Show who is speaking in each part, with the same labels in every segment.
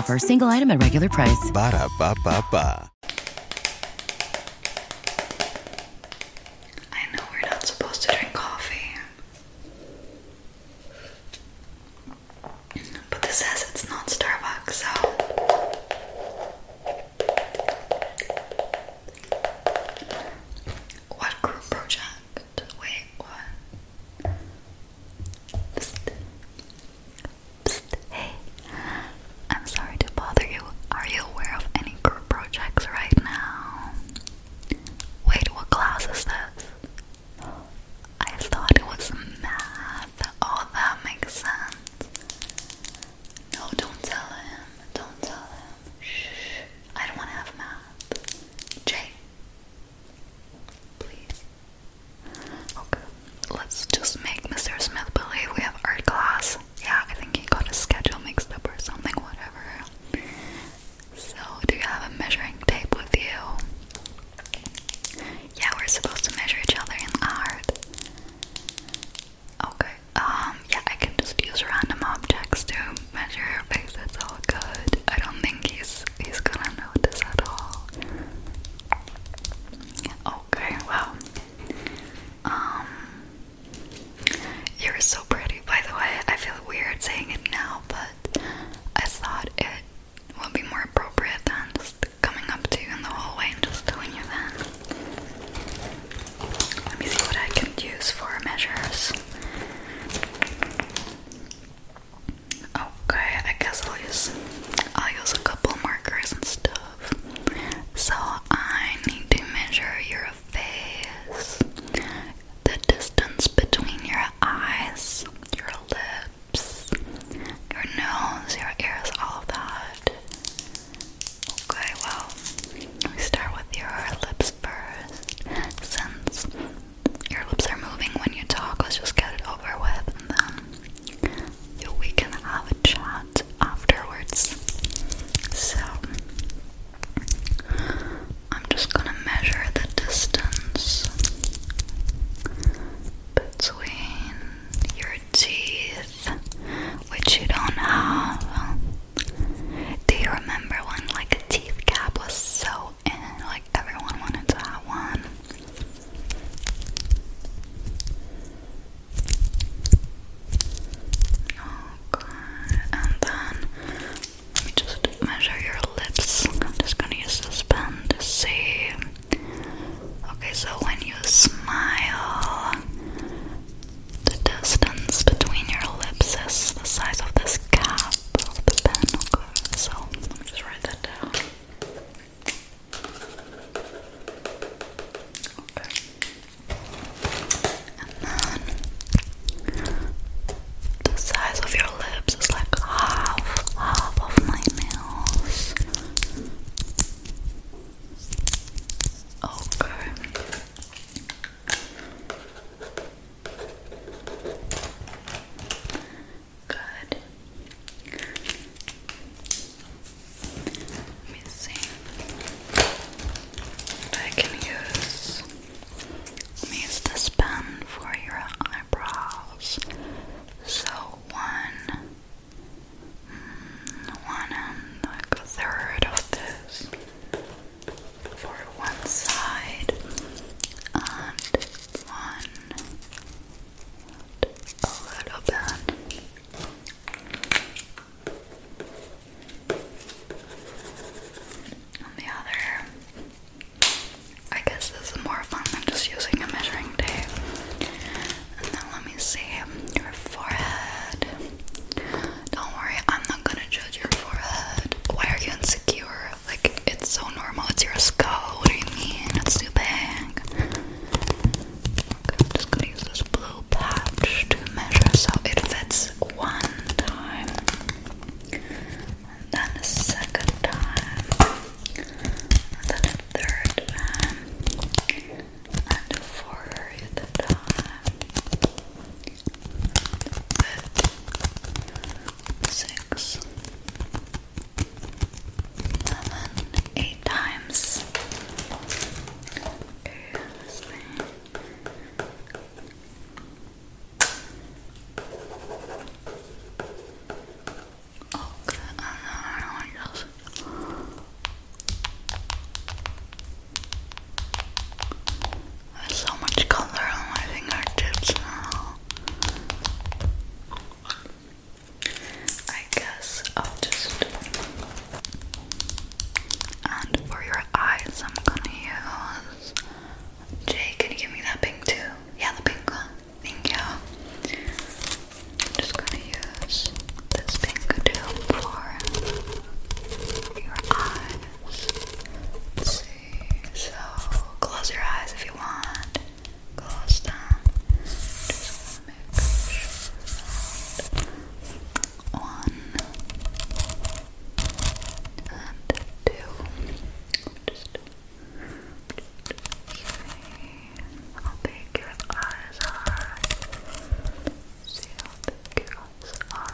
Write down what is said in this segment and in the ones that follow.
Speaker 1: offer, single item at regular price.
Speaker 2: Ba da ba ba I know we're not
Speaker 3: supposed to drink coffee, but this says it's not Starbucks, so. What group project? Wait, what? Hey. I'm sorry to bother you. Are you aware of any group projects right now? Wait, what class is this? I thought it was math. Oh, that makes sense. No, don't tell him. Don't tell him. Shh. I don't want to have math. Jay, Please. Okay. Let's just make Mr. Smith believe we have art class. Yeah, I think he got his schedule mixed up or something, whatever. So, do you have a measuring tape with you? Yeah, we're supposed to measure each other in art. Okay, um, yeah, I can just use random objects to measure your face, it's all good. I don't he's he's gonna notice at all. Okay, well. Um You're so pretty, by the way. I feel weird saying it now, but I thought it would be more appropriate than just coming up to you in the hallway and just doing you then. Let me see what I can use for measures. Okay, I guess I'll use I'll use a couple markers and stuff. So I need to measure your face, the distance between your eyes, your lips, your nose, your ears, all of that. Okay, well, we start with your lips first, since your lips are moving when you talk. Let's just get it over with, and then we can have a chat afterwards. So I'm just gonna measure the distance between your teeth, which you don't have. Do you remember when like a teeth gap was so and like everyone wanted to have one. Okay, oh, and then just measure your lips. I'm just gonna use this pen to see. Okay, so when you smile, the distance between your lips is the size of this cap of the pen, So, let me just write that down. Okay. And then the size of your lips is like half, half of my nails. Okay. Good. Let I can use. use this pen for your eyebrows. So one, mm, one and like a third of this for one side and one a little bit. On the other, I guess this is more fun than just using a measuring tape. And then let me see your forehead. Don't worry, I'm not gonna judge your forehead. Why are you insecure? Like, it's so normal. It's your skull. What do you mean? It's too big. I'm just gonna use this blue patch to measure so it fits one time. then a second time. then a third time. And a fourth time six, seven, eight times. Oh, good. Oh, I do so much color on my fingertips now. I guess I'll just. And for your eyes, I'm gonna use. Jay, can you give me that pink too? Yeah, the pink one. Thank I'm just gonna use this pink too for your eyes. So close your eyes if you want. Close them. Just wanna make sure that one and two. Just see how big your eyes are. See how big your eyes are.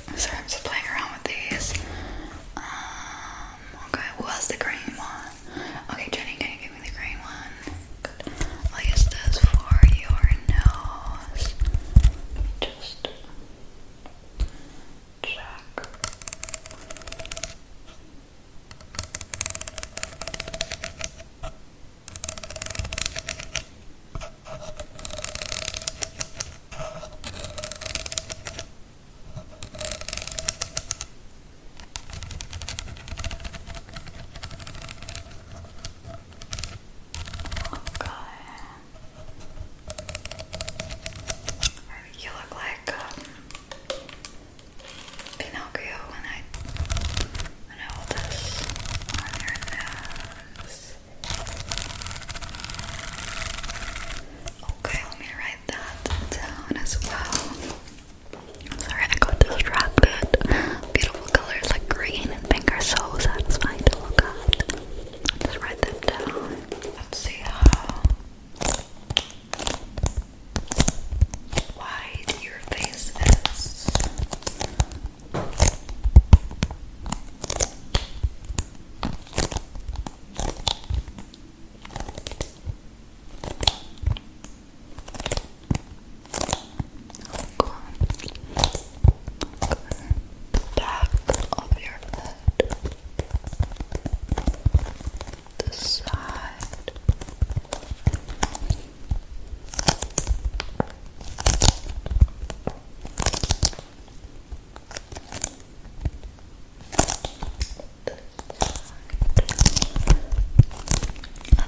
Speaker 3: Sorry, I'm just playing around with these. Um, okay, well the green one. Okay, Jenny, can you give me the green one? Good. i for your nose. Just check. Okay. You look like um, Pinocchio when I when I hold this on your nose. Okay, let me write that down as well. sorry, I got distracted. Beautiful colors like green and pink are so satisfying to look at. I'll write them down. us see how wide your face is. Back of your head, the side,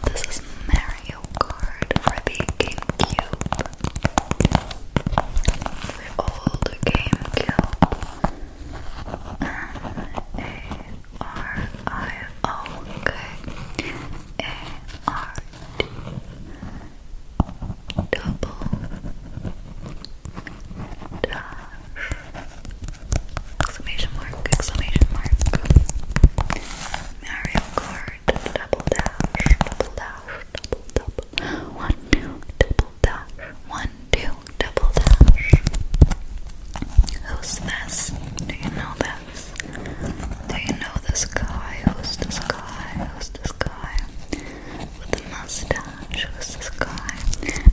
Speaker 3: and this is Mario Kart for the GameCube. The GameCube. M A R I O K A R double dash exclamation mark exclamation mark Mario Kart double dash double dash double double one two double dash one two double dash Who's this? Do you know this? Do you know this guy? Who's this guy? Who's this guy? with the mustache. Who's this guy?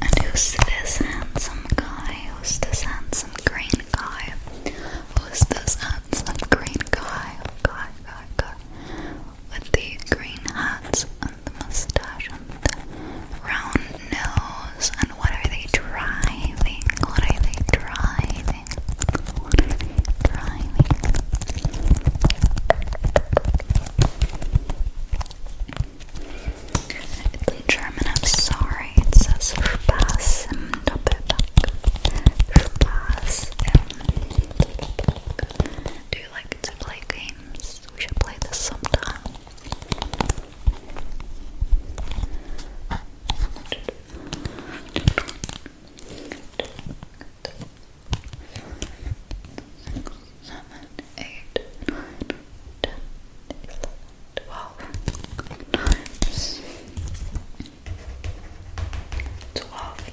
Speaker 3: And who's this handsome guy? Who's this handsome green guy? Who's this handsome green guy? Guy, guy, guy. With the green hat and the mustache and the round nose. And what are they driving? What are they driving? driving, German, I'm sorry, it says Spaß im Doppelpack. Do you like to play games? We should play this sometime six, seven, eight, nine, ten, eleven, twelve times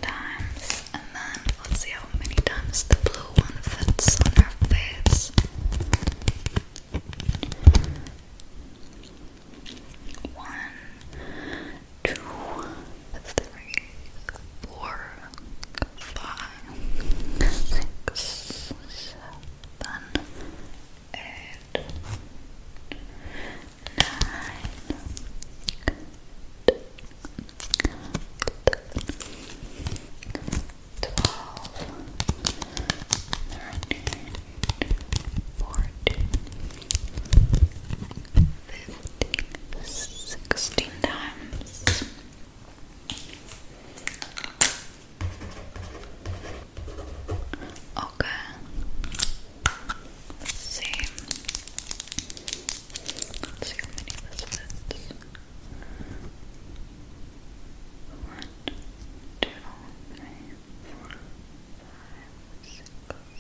Speaker 3: times and then let's see how many times the blue one fits on her face. One, two, three, four, five, six, seven, eight, nine, twelve, thirteen, fourteen. 15, 16 times. Okay. let Let's see how many this fits. One, two, three, four, five, six,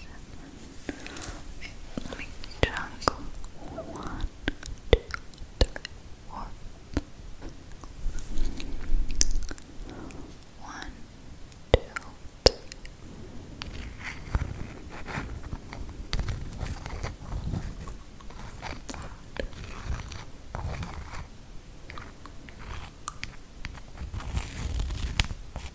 Speaker 3: seven, eight. Let me jungle. One, two, three, four. One, two, three. Okay. The Draw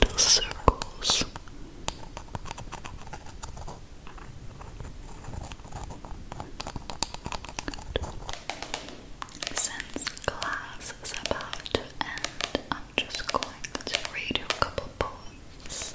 Speaker 2: little circles. Since class is about to end, I'm just going to read you a couple poems.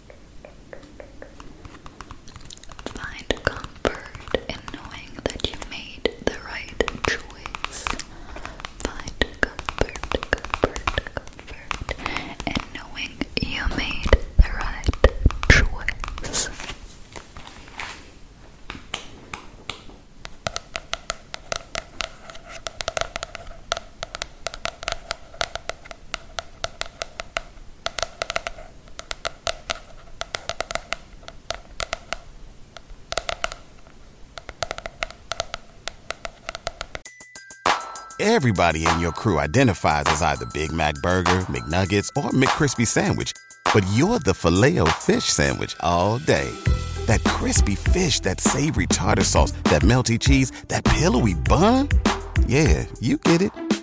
Speaker 2: Find comfort in knowing that you made the right choice. Find comfort, comfort, comfort in knowing you made the right choice. Everybody in your crew identifies as either Big Mac Burger, McNuggets, or McCrispy Sandwich, but you're the filet fish Sandwich all day. That crispy fish, that savory tartar sauce, that melty cheese, that pillowy bun. Yeah, you get it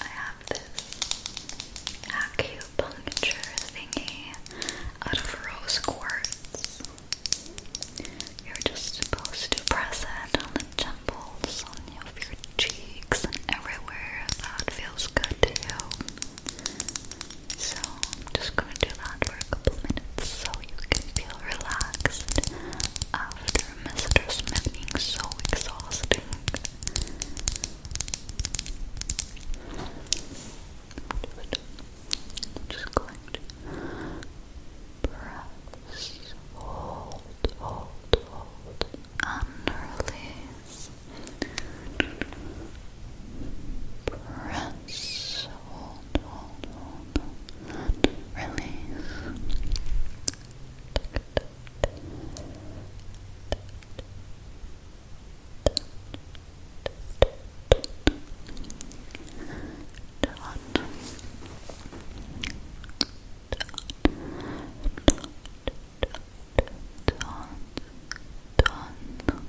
Speaker 2: I have this acupuncture thingy out of rose quartz. You're just supposed to press it on the temples, on your cheeks, and everywhere that feels good to you. So I'm just gonna do that for a couple minutes so you can feel relaxed after Mr. Smith being so exhausting. just going to press hold, hold, hold, and Press, hold, hold, hold, release dot, dot, dot, dot, Dawn. Dawn.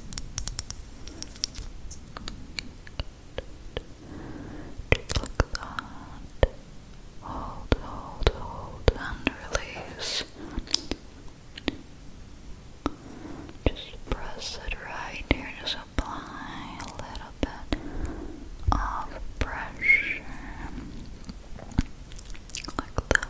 Speaker 2: Just like that. Hold, hold, hold, and release. Just press it right here. Just apply a little bit of pressure. Like that.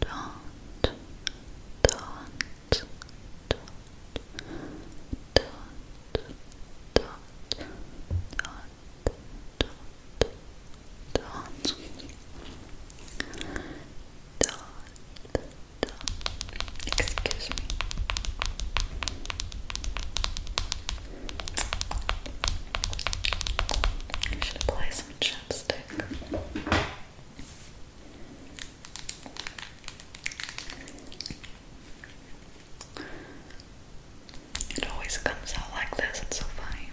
Speaker 2: don't, don't, don't, don't, do excuse me. I should apply some chapstick. It always comes out like this, it's so funny.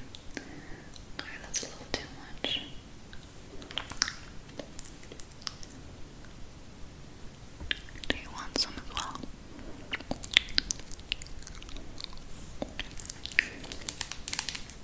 Speaker 2: that's a little too much. Do you want some as well?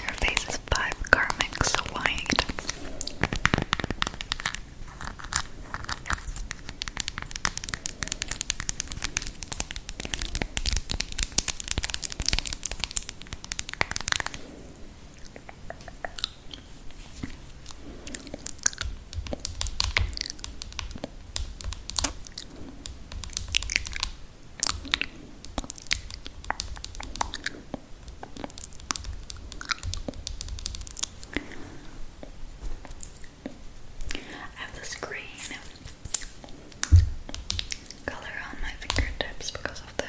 Speaker 3: Your face is five karmics wide. I have this green color on my fingertips because of this.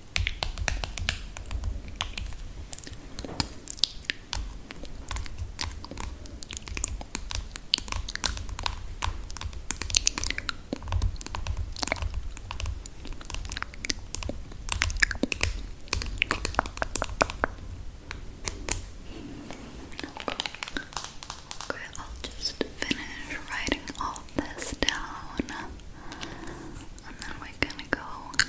Speaker 3: Okay, I'll just finish writing all this down and then we're gonna go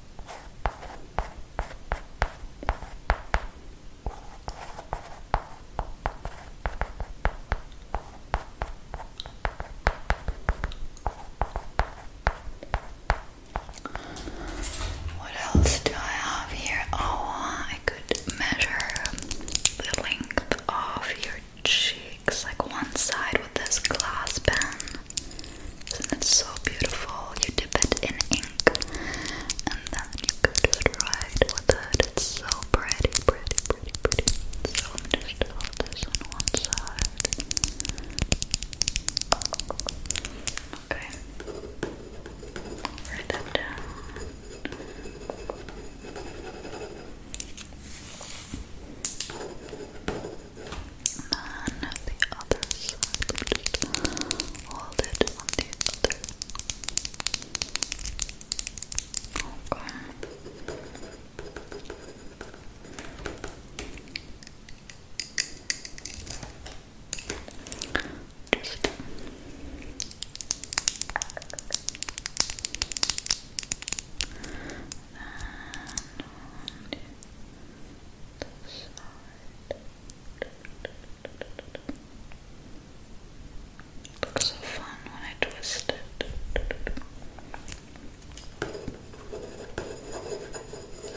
Speaker 3: What else do I have here? Oh, I could measure the length of your cheeks, like one side with this glass pen. Isn't it so beautiful? You dip it in ink and then you could do it right with It's so pretty, pretty, pretty, pretty. So I'm just hold this on one side. Okay. Write that down on the other side. Just hold it on the other. Okay. Just and um, Looks so fun when I twist it.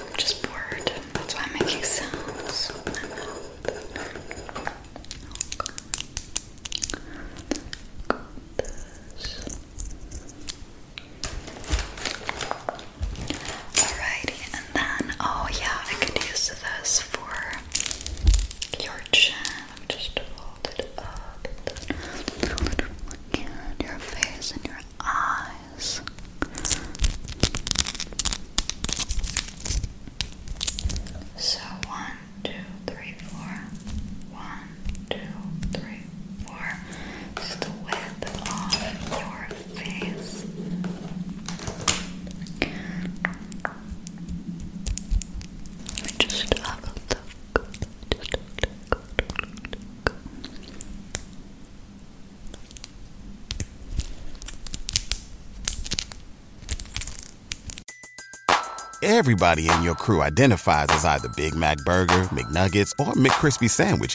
Speaker 2: I'm just bored. That's why I'm making sounds oh, Alrighty, and then oh yeah, I could use this for your chin. Let me just hold up. your face and your eyes. So one, two, three, four. One, two, three, four. Just the width of your face. Just have a look. Just look, look, look. Everybody in your crew identifies as either Big Mac Burger, McNuggets, or McCrispy Sandwich